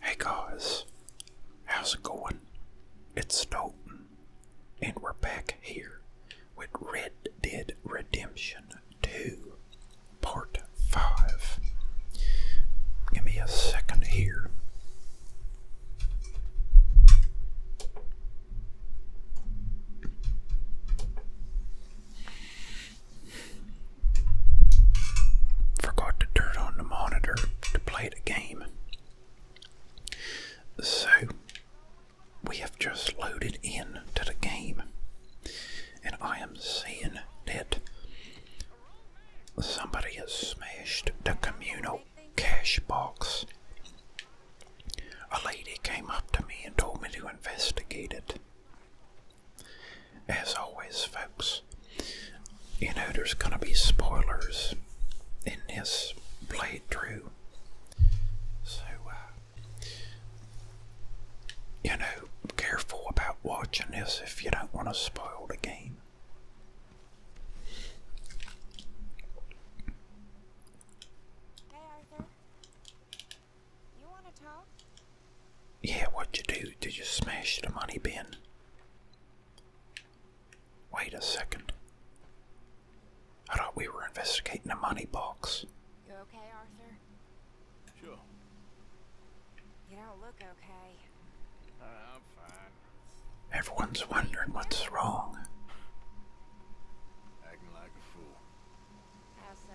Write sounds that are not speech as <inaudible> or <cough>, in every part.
Hey guys, how's it going? It's Stoughton, and we're back here with Red Dead Redemption 2, Part 5. Give me a second here. Forgot to turn on the monitor to play the game. So, we have just loaded in to the game, and I am seeing that somebody has smashed the communal cash box. A lady came up to me and told me to investigate it. As always, folks, you know there's going to be spoilers in this playthrough. So, uh, you know, careful about watching this if you don't want to spoil the game. Hey, Arthur. You want to talk? Yeah, what'd you do? Did you smash the money bin? Wait a second. I thought we were investigating the money box. You okay, Arthur? Sure. You don't look okay. Uh, I'm fine. Everyone's wondering what's wrong. Acting like a fool. How so?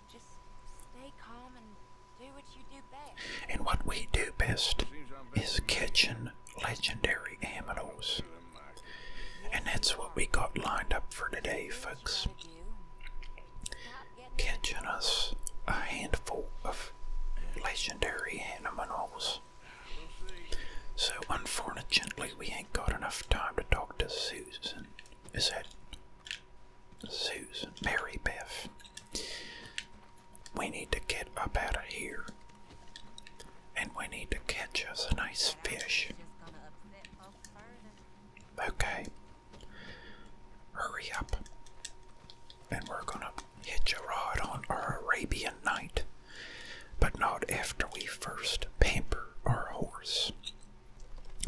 and what we do best is catching legendary aminos. And that's what we got lined up for today, folks. Catching us a handful of legendary animals. So, unfortunately, we ain't got enough time to talk to Susan. Is it? Susan, Mary Biff, we need to get up out of here. And we need to catch us a nice fish. Okay. Hurry up. And we're gonna hitch a rod on our Arabian night. But not after we first pamper our horse.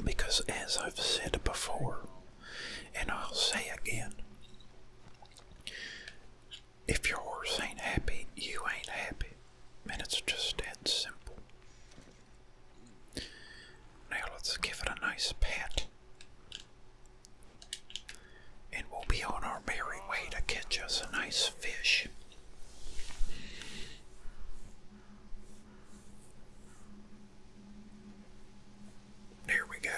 Because, as I've said before, and I'll say again, if your horse ain't happy, you ain't happy. And it's just that simple. Now let's give it a nice pat. And we'll be on our merry way to catch us a nice fish. There we go.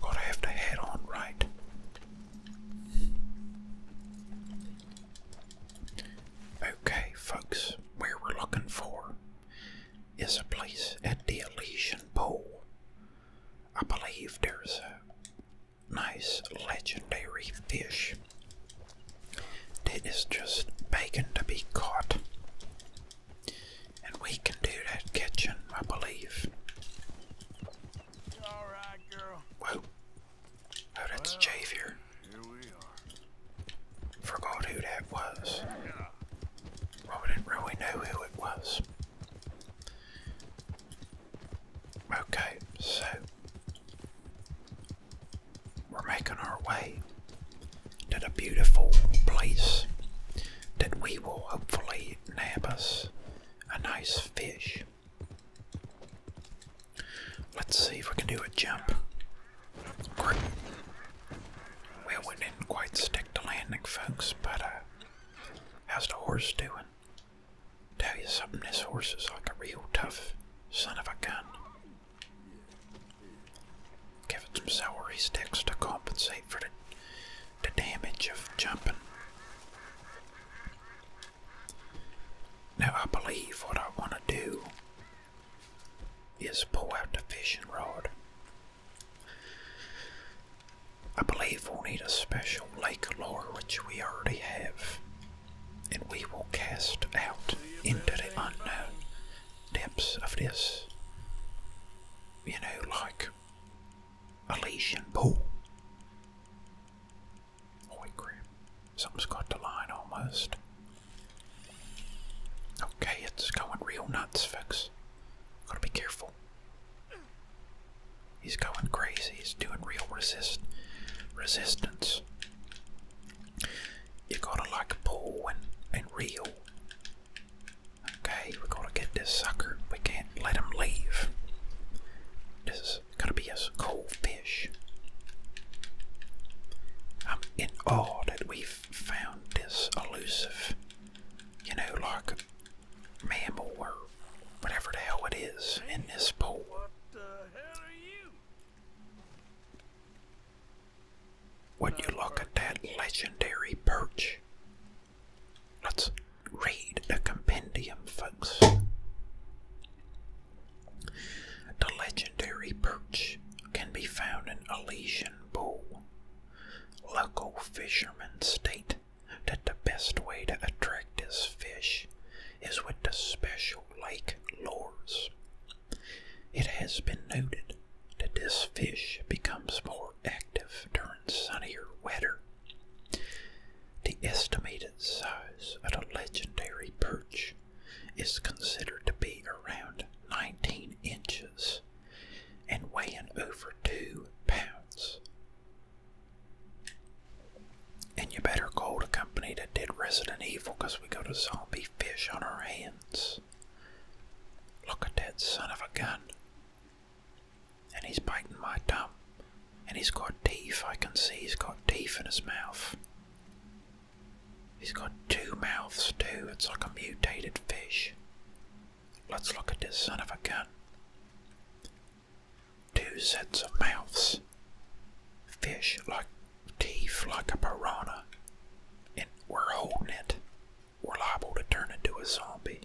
Gonna have to head on right. Okay, folks, where we're looking for is a place at the Elysian Pool. I believe there's a nice legendary fish it is just bacon to be caught. And we can do that kitchen, I believe. Whoa. Oh, that's well, Forgot who that was. Yeah. didn't really know who it was. Okay, so we're making our way to the beautiful place that we will hopefully nab us a nice fish. Let's see if we can do a jump. Great. Well, we didn't quite stick to landing, folks, but uh, how's the horse doing? Tell you something, this horse is like a real tough son of a gun. Give it some celery sticks to compensate for the, the damage of jumping. Now I believe what I want to do is pull out the fishing rod. I believe we'll need a special lake lure, which we already have and we will cast out into the unknown depths of this, you know, like Elysian pool. Holy crap, something's got the line almost. Okay, it's going real nuts, folks. Gotta be careful. He's going crazy. He's doing real resist resistance you gotta like pull and, and reel. Okay, we gotta get this sucker. We can't let him leave. This is gonna be a cold fish. I'm in awe that we've found this elusive, you know, like a mammal or whatever the hell it is in this pool. What the hell are you? When you look at that legendary perch, let's read the compendium, folks. The legendary perch can be found in Elysian Pool. Local fishermen state that the best way to attract this fish is with the special lake lures. It has been noted that this fish becomes more active during sunnier weather. The estimated size of the legendary perch is considered to be around 19 inches and weighing over 2 pounds. And you better call to company that did Resident Evil because we got a zombie fish on our hands. Look at that son of a gun. And he's biting my thumb. And he's got teeth. I can see he's got teeth in his mouth. He's got two mouths too. It's like a mutated fish. Let's look at this son of a gun. Two sets of mouths fish like teeth like a piranha and we're holding it, we're liable to turn into a zombie.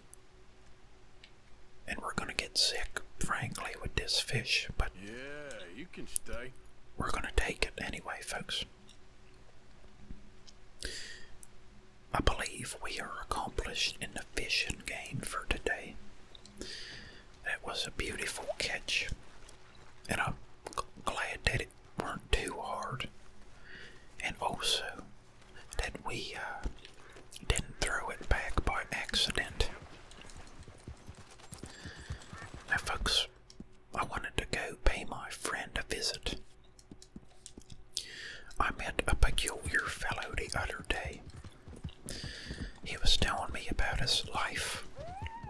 And we're gonna get sick, frankly, with this fish, but yeah, you can stay. We're gonna take it anyway, folks. I believe we are accomplished in the fishing game for today. It was a beautiful catch, and I'm glad that it weren't too hard, and also that we uh, didn't throw it back by accident. Now, folks, I wanted to go pay my friend a visit. I met a peculiar fellow the other day. He was telling me about his life,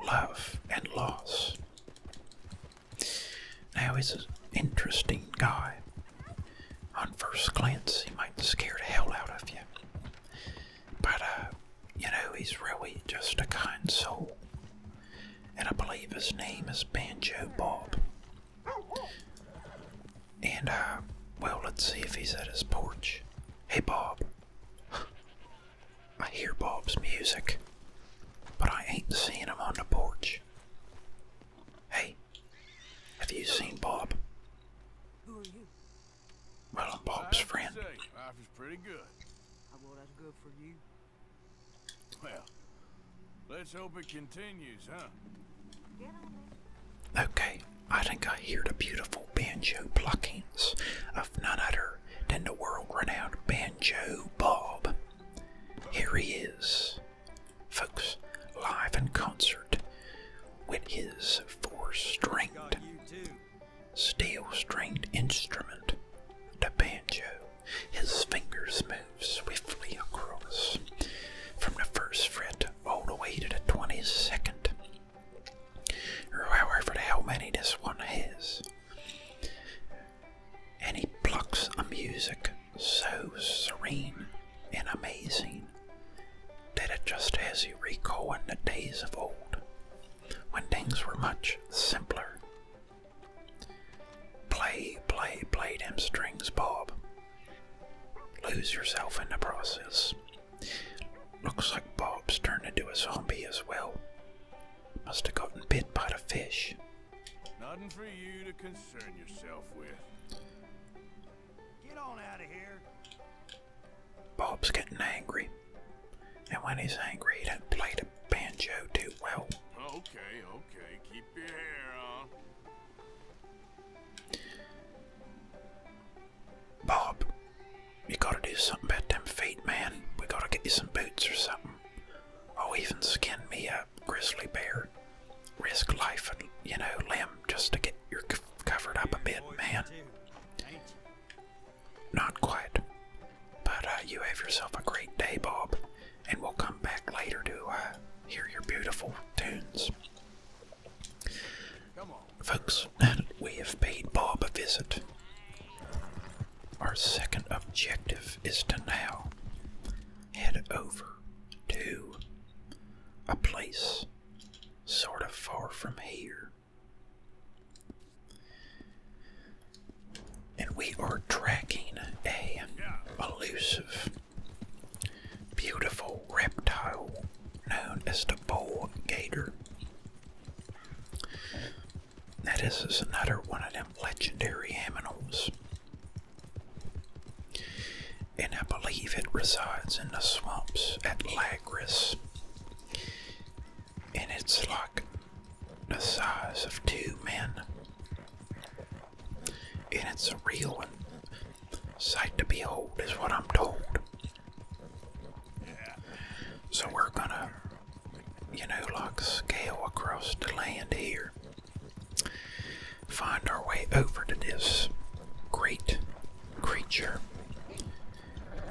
love, and loss. Now he's an interesting guy. On first glance, he might scare the hell out of you. But, uh, you know, he's really just a kind soul. And I believe his name is Banjo Bob. And, uh, well, let's see if he's at his porch. Hey, Bob. I hear Bob's music, but I ain't seeing him on the porch. Hey, have you seen Bob? Who are you? Well, I'm Bob's friend. life is pretty good. well that's good for you? Well, let's hope it continues, huh? Okay, I think I hear the beautiful banjo pluckings of none other than the world renowned Banjo Bob. Here he is, folks, live in concert with his four stringed, steel stringed instrument, the banjo. His fingers move swiftly across from the first fret all the way to the 22nd however the many this one is. And he plucks a music so serene and amazing that it just has you recalling the days of old when things were much simpler. Play, play, play them strings, Bob. Lose yourself in the process. Looks like Bob's turned into a zombie as well. Must have gotten bit by the fish. Nothing for you to concern yourself with. Get on out of here. Bob's getting angry. And when he's angry, he doesn't play the banjo too well. Okay, okay, keep your hair on. Bob, you gotta do something about them feet, man. We gotta get you some boots or something. Oh, even skin me up, grizzly bear. Risk life and, you know, limb just to get your covered up a bit, man. Not quite. But uh, you have yourself a great day, Bob, and we'll come back later to uh, hear your beautiful tunes. Folks, we have paid Bob a visit. Our second objective is to now head over to a place sort of far from here. And we are tracking a elusive, beautiful reptile known as the bull gator. That is another one of them legendary animals, And I believe it resides in the swamps at Lagris. And it's like the size of two men. And it's a real one. Sight to behold is what I'm told. So we're gonna, you know, like scale across the land here, find our way over to this great creature,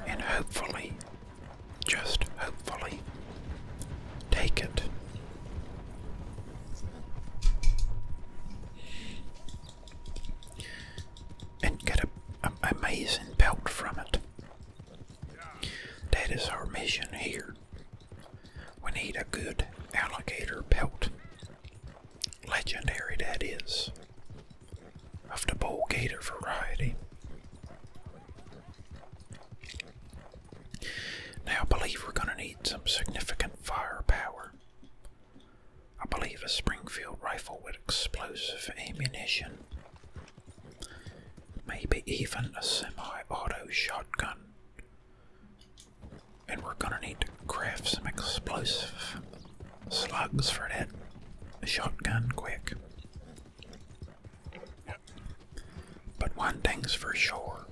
and hopefully, just hopefully, take it and get an amazing belt from it. That is our mission here. We need a good alligator belt. Legendary, that is, of the bull gator variety. Now, believe we're going to need some significant firepower I believe a Springfield rifle with explosive ammunition. Maybe even a semi auto shotgun. And we're gonna need to craft some explosive slugs for that shotgun quick. But one thing's for sure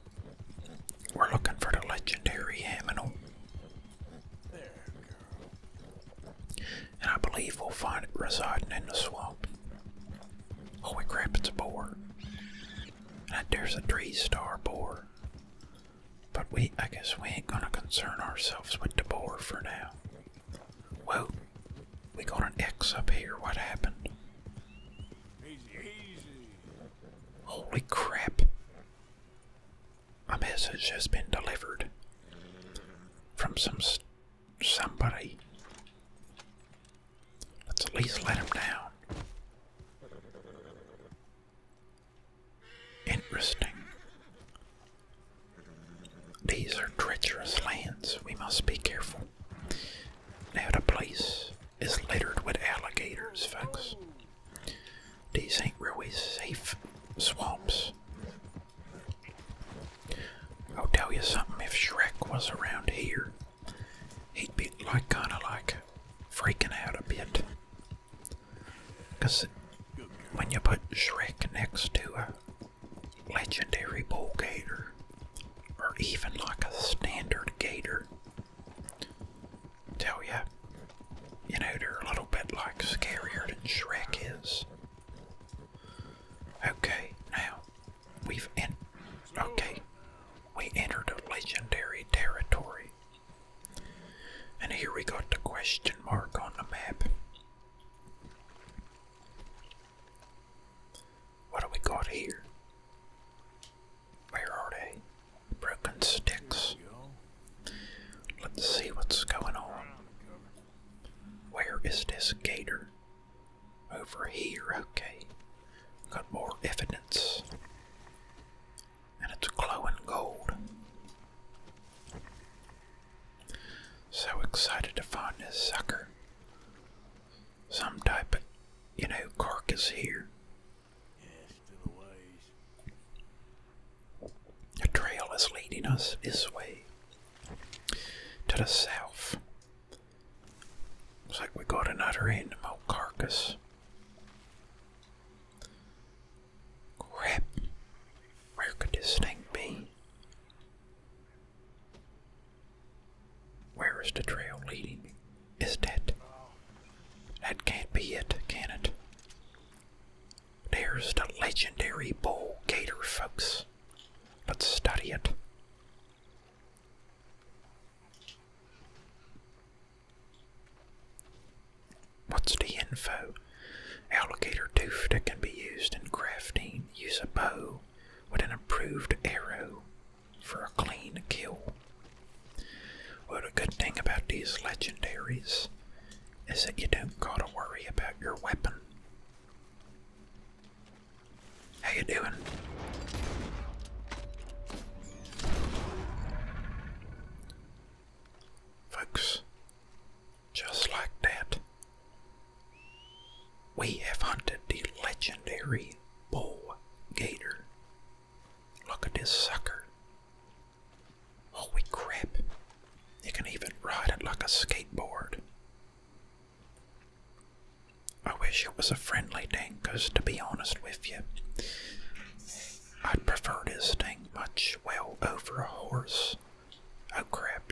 we're looking for the legendary Aminal. There we go. And I believe we'll find it residing in the swamp. Holy crap, it's a boar. And there's a three star boar. But we, I guess we ain't gonna concern ourselves with the boar for now. Whoa, we got an X up here. What happened? easy. Holy crap. A message has been delivered from some somebody. Let's at least let him down. Interesting. These are treacherous lands. We must be careful. Now the place is littered with alligators, folks. These ain't really safe swamps. I'll tell you something, if Shrek was around here, he'd be like kind of like freaking out a bit. Because when you put Shrek next to a legendary bull gator, or even like a standard gator, tell you, you know, they're a little bit like scarier than Shrek is. Okay, now we've in okay, we entered a legendary territory. And here we got the question mark on the map. What do we got here? Where are they? Broken sticks. Let's see what's going on. Where is this gator? Over here, okay. Got more evidence. And it's glowing gold. So excited to find this sucker. Some type of, you know, carcass here. A trail is leading us this way to the south. Looks like we got another animal carcass. Crap, where could this thing be? Where is the trail leading? Is that? That can't be it, can it? There's the legendary bull gator, folks. Let's study it. What's the info? Alligator tooth that can be used in crafting. Use a bow with an improved arrow for a clean kill. What a good thing about these legendaries is that you don't gotta worry about your weapon. How you doing? Folks, just like that, we have hunted the legendary bull gator. Look at this sucker. Holy oh, crap! You can even ride it like a skateboard. I wish it was a friendly thing, because to be honest with you, I prefer this thing much well over a horse. Oh crap,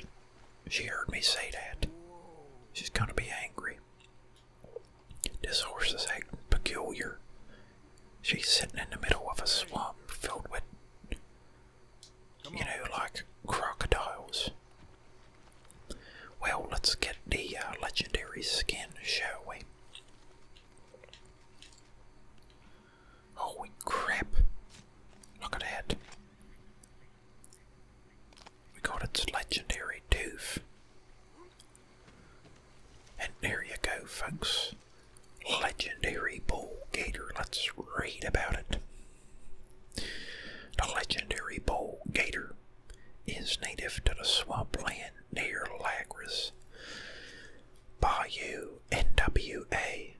she heard me say that. She's gonna be angry. This horse is acting peculiar. She's sitting in the middle of a swamp filled with, you know, like crocodiles. Well, let's get the uh, legendary skin, shall we? Holy crap! Look at that. We got its legendary tooth. And there you go, folks legendary bull gator. Let's read about it. The legendary bull gator is native to the swampland near Lagras, Bayou, NWA.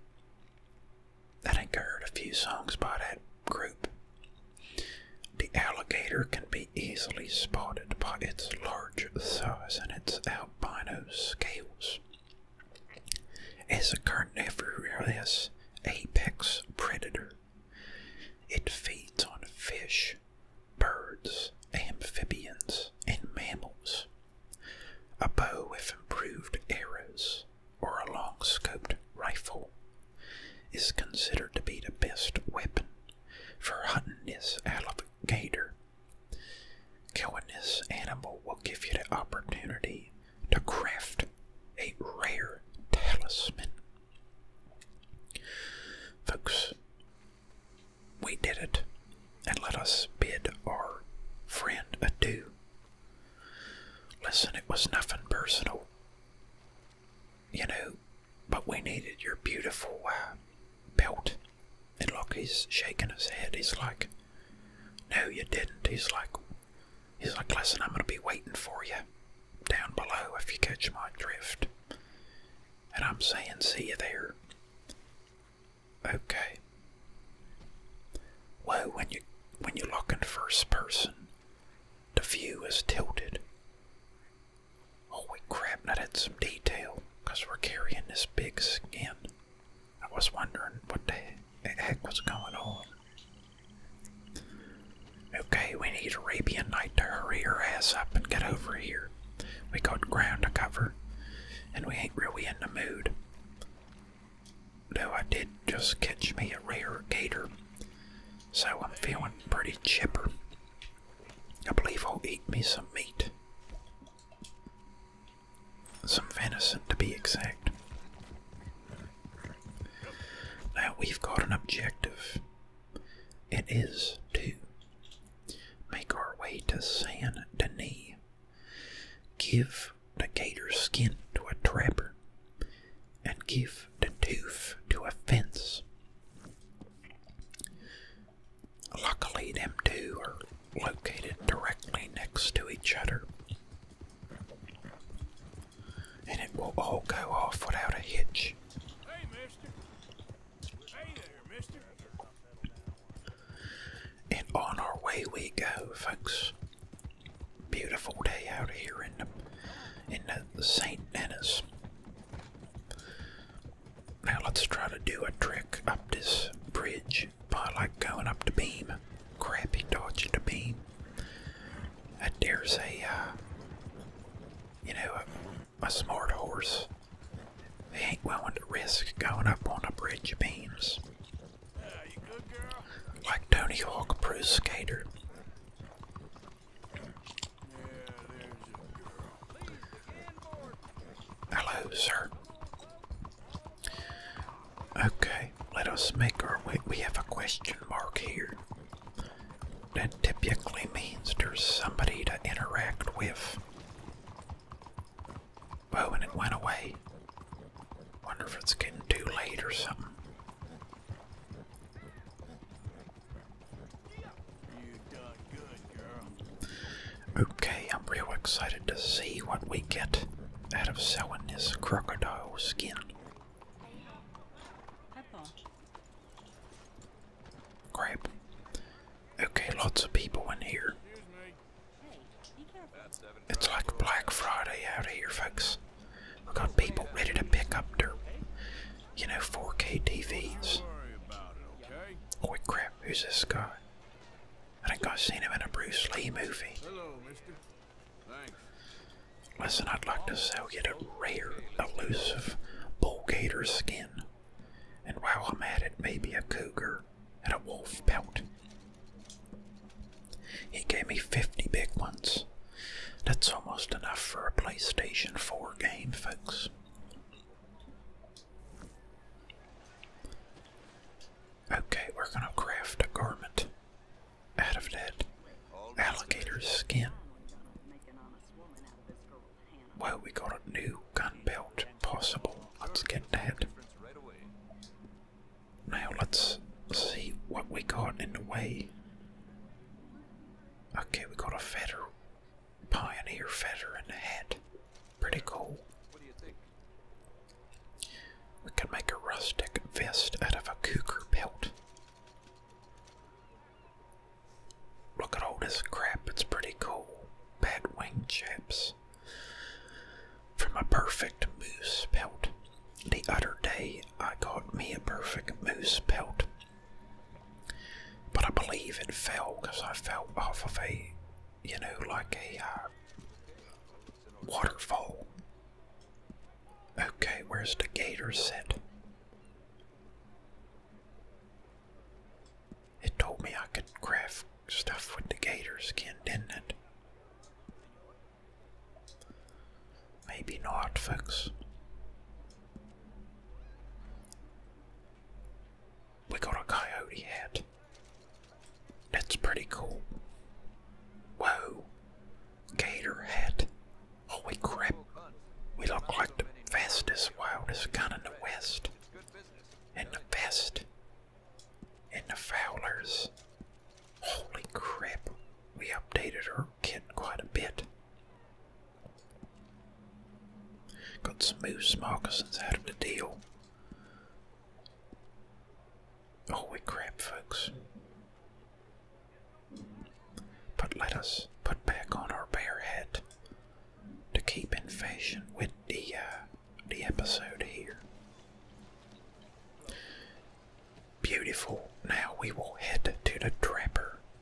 I think heard a few songs by that group. The alligator can be easily spotted by its large size and its albino scales. As a carnivorous apex predator, it feeds on fish, birds, amphibians, and mammals. A bow with improved arrows or a long scoped rifle is considered to be the best weapon for hunting this alligator Killing this animal will give you the opportunity to craft a rare talisman. Folks, we did it, and let us bid our friend adieu. Listen, it was nothing personal, you know, but we needed your beautiful uh, belt and look, he's shaking his head. He's like, "No, you didn't." He's like, "He's like, listen, I'm gonna be waiting for you down below if you catch my drift." And I'm saying, "See you there." Okay. Well, when you when you look in first person, the view is tilted. Holy crap! Now that's some detail, we we're carrying this big skin. I was wondering what the heck was going on. Okay, we need Arabian Night to hurry our ass up and get over here. We got ground to cover, and we ain't really in the mood. Though I did just catch me a rare gator, so I'm feeling pretty chipper. I believe he will eat me some meat. Some venison to be exact. Now we've got an objective. It is to make our way to San Denis, give the gator skin to a trapper, and give the tooth to a fence. Luckily, them two are located directly next to each other, and it will all go off without a hitch. Hey, mister. And on our way we go, folks. Beautiful day out here in the in the St. Denis. Now let's try to do a trick up this bridge by like going up the beam. Crappy dodging the beam. I dare say, uh, you know, a, smart horse they ain't willing to risk going up on a bridge of beams. Like Tony Hawk Pro Skater. Hello, sir. Okay, let us make our way. We have a question mark here. That typically means there's somebody to interact with. Oh, and it went away. Wonder if it's getting too late or something. Okay, I'm real excited to see what we get out of selling this crocodile skin. Crap. Okay, lots of people in here. It's like Black Friday out here, folks. We got people ready to pick up their, you know, 4K TVs. Oh crap, who's this guy? I think I've seen him in a Bruce Lee movie. Hello, mister. Listen, I'd like to sell you a rare, elusive bull gator skin. And while I'm at it, maybe a cougar and a wolf pelt. He gave me 50 big ones. That's almost enough for a PlayStation 4 game, folks. Okay, we're gonna craft a garment out of that alligator skin. Well, we got a new gun belt possible. Let's get that. Now let's see what we got in the way. Okay, we got a feather, pioneer feather in the hat. Pretty cool. What do you think? We could make a rustic vest out of a cougar pelt. Look at all this crap, it's pretty cool. Bad wing chips From a perfect moose pelt. The other day I got me a perfect moose pelt. But I believe it fell because I fell off of a, you know, like a uh, waterfall. Okay, where's the gator sit? It told me I could craft stuff with the gator skin, didn't it? Maybe not, folks we got a coyote head. That's pretty cool. Whoa. Gator head. Holy oh, crap. We look like the fastest, wildest gun in the west. And the best. And the Fowlers. Holy crap. We updated our kit quite a bit. Got some new moccasins out of the deal. Oh, we crap, folks. But let us put back on our bare head to keep in fashion with the, uh, the episode here. Beautiful. Now we will head to the trapper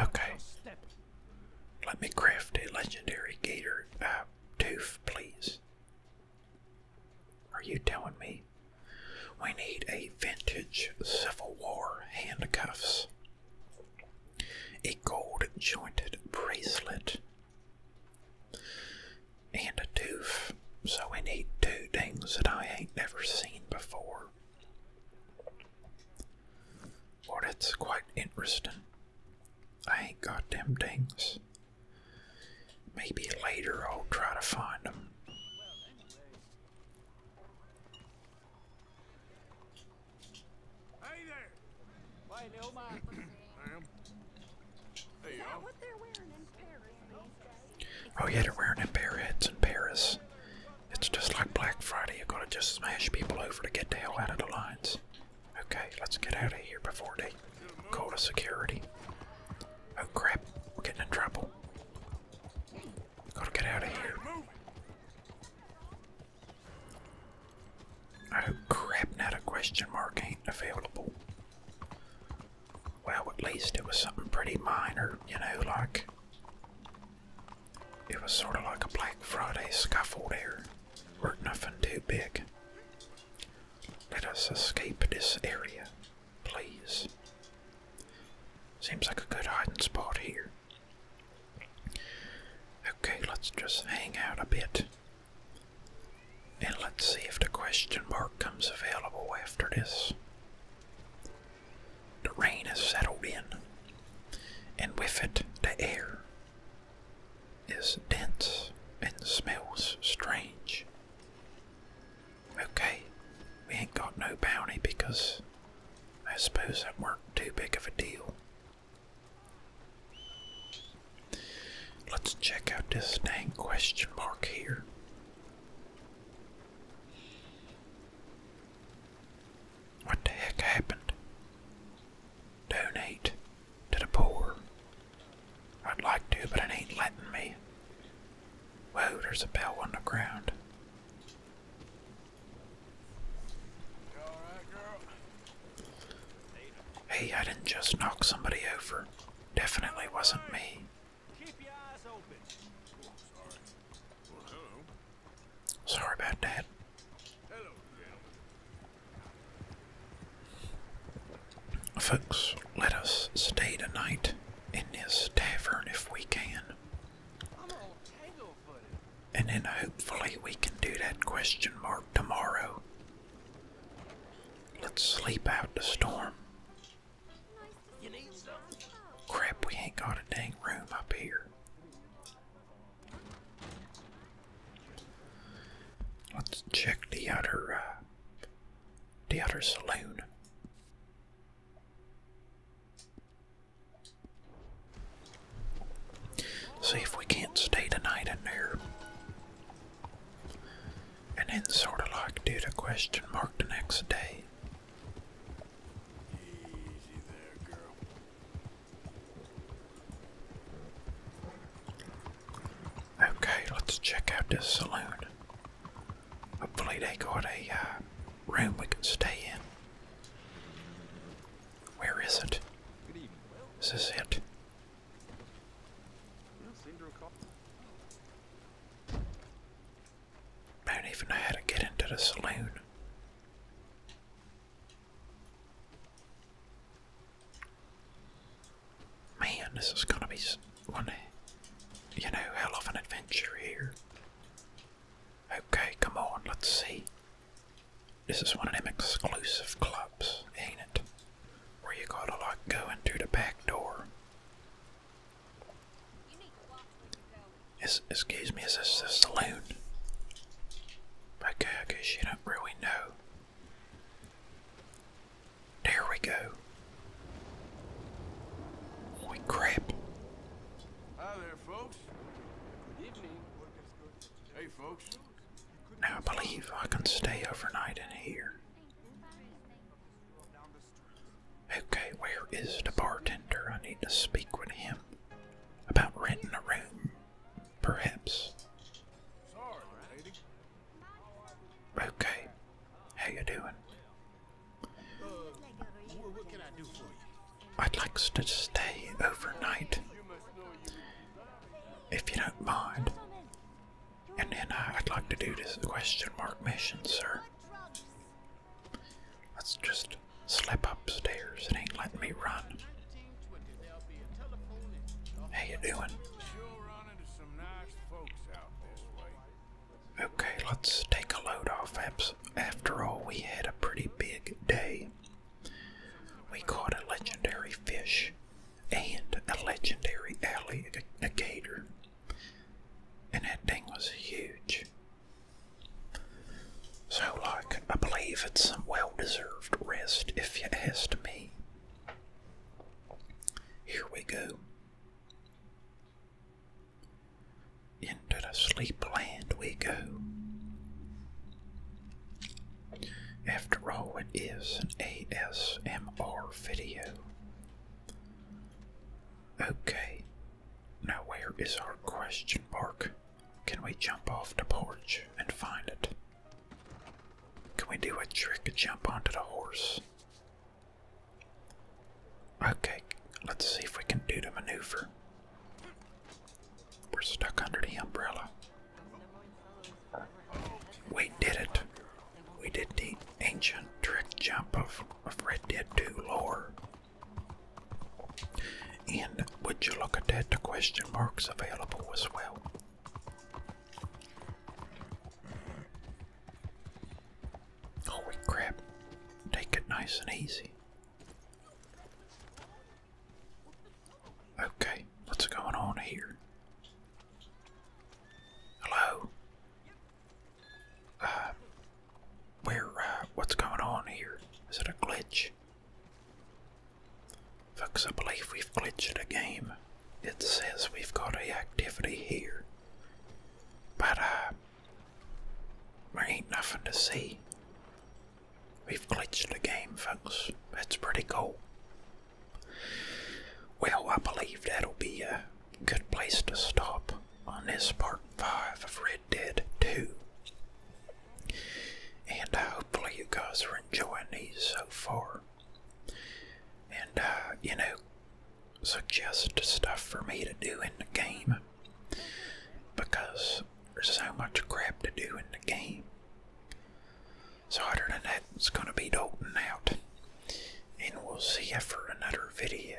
Okay. Let me craft a legendary gator uh, tooth, please. Are you telling me we need a vintage Civil War handcuffs? A gold jointed bracelet and a tooth. So we need two things that I ain't never seen before. Well, that's quite interesting. I ain't got them things. Maybe later I'll try to find them. <clears throat> Oh, yeah, they're wearing them parrots in Paris it's just like Black Friday, you gotta just smash people over to get the hell out of the lines. Okay, let's get out of here before they call the security. Oh crap, we're getting in trouble. Gotta get out of here. Oh crap, not a question mark ain't available. Well, at least it was something pretty minor, you know, like it was sort of like a Black Friday scuffle there, or nothing too big. Let us escape this area, please. Seems like a good hiding spot here. Okay, let's just hang out a bit. And let's see if the question mark comes available after this. The rain has settled in and with it the air is dense and smells strange. Okay, we ain't got no bounty because I suppose that weren't too big of a deal. Let's check out this dang question mark here. What the heck happened? Donate to the poor. I'd like to, but it ain't letting me. Whoa, there's a bell on the ground. Hey, I didn't just knock somebody over. Definitely wasn't me. Sorry about that. Folks, let us stay tonight in this tavern if we can. And then hopefully we can do that question mark tomorrow. Let's sleep out the storm. Crap, we ain't got a dang room up here. Let's check the other, uh, the outer saloon. See if we can't stay tonight in there. And then sort of like do the question mark the next day. Okay, let's check out this saloon. Hopefully, they got a uh, room we can stay in. Where is it? Is this it? don't even know how to get into the saloon. Man, this is gonna be one, you know, hell of an adventure here. Okay, come on, let's see. This is one of them exclusive clubs, ain't it? Where you gotta like go in the back door excuse me, is this the saloon? Okay, I guess you don't really know. There we go. Holy crap. Hi there, folks. Hey, folks. Now, I believe I can stay overnight in here. Okay, where is the bartender? I need to speak with him about renting a room, perhaps. Okay, how you doing? I'd like to stay overnight, if you don't mind. And then uh, I'd like to do this question mark mission, sir. Let's just slip upstairs. It ain't letting me run. How you doing? Okay, let's take a load off. After all, we had a pretty big day. We caught a legendary fish and a legendary alligator, and that thing was huge. So, like, I believe it's some well deserved rest, if you ask me. Here we go. Into the sleep land we go. After all, it is an ASMR video. Okay, now where is our question mark? Can we jump off the porch and find it? Can we do a trick and jump onto the horse? Okay, let's see if we can do the maneuver. We're stuck under the umbrella. We did it. We did the ancient trick jump of Red Dead 2 lore. And would you look at that? The question marks available as well. Holy crap! Take it nice and easy. Okay, what's going on here? Hello? Uh, where, uh, what's going on here? Is it a glitch? Folks, I believe we've glitched a game. It says we've got a activity here. But, uh, there ain't nothing to see. We've glitched a game, folks. That's pretty cool. Well, I believe that'll be a good place to stop on this part 5 of Red Dead 2. And uh, hopefully, you guys are enjoying these so far. And, uh, you know, suggest stuff for me to do in the game. Because there's so much crap to do in the game. So, other than that, it's going to be doting out. And we'll see you for another video.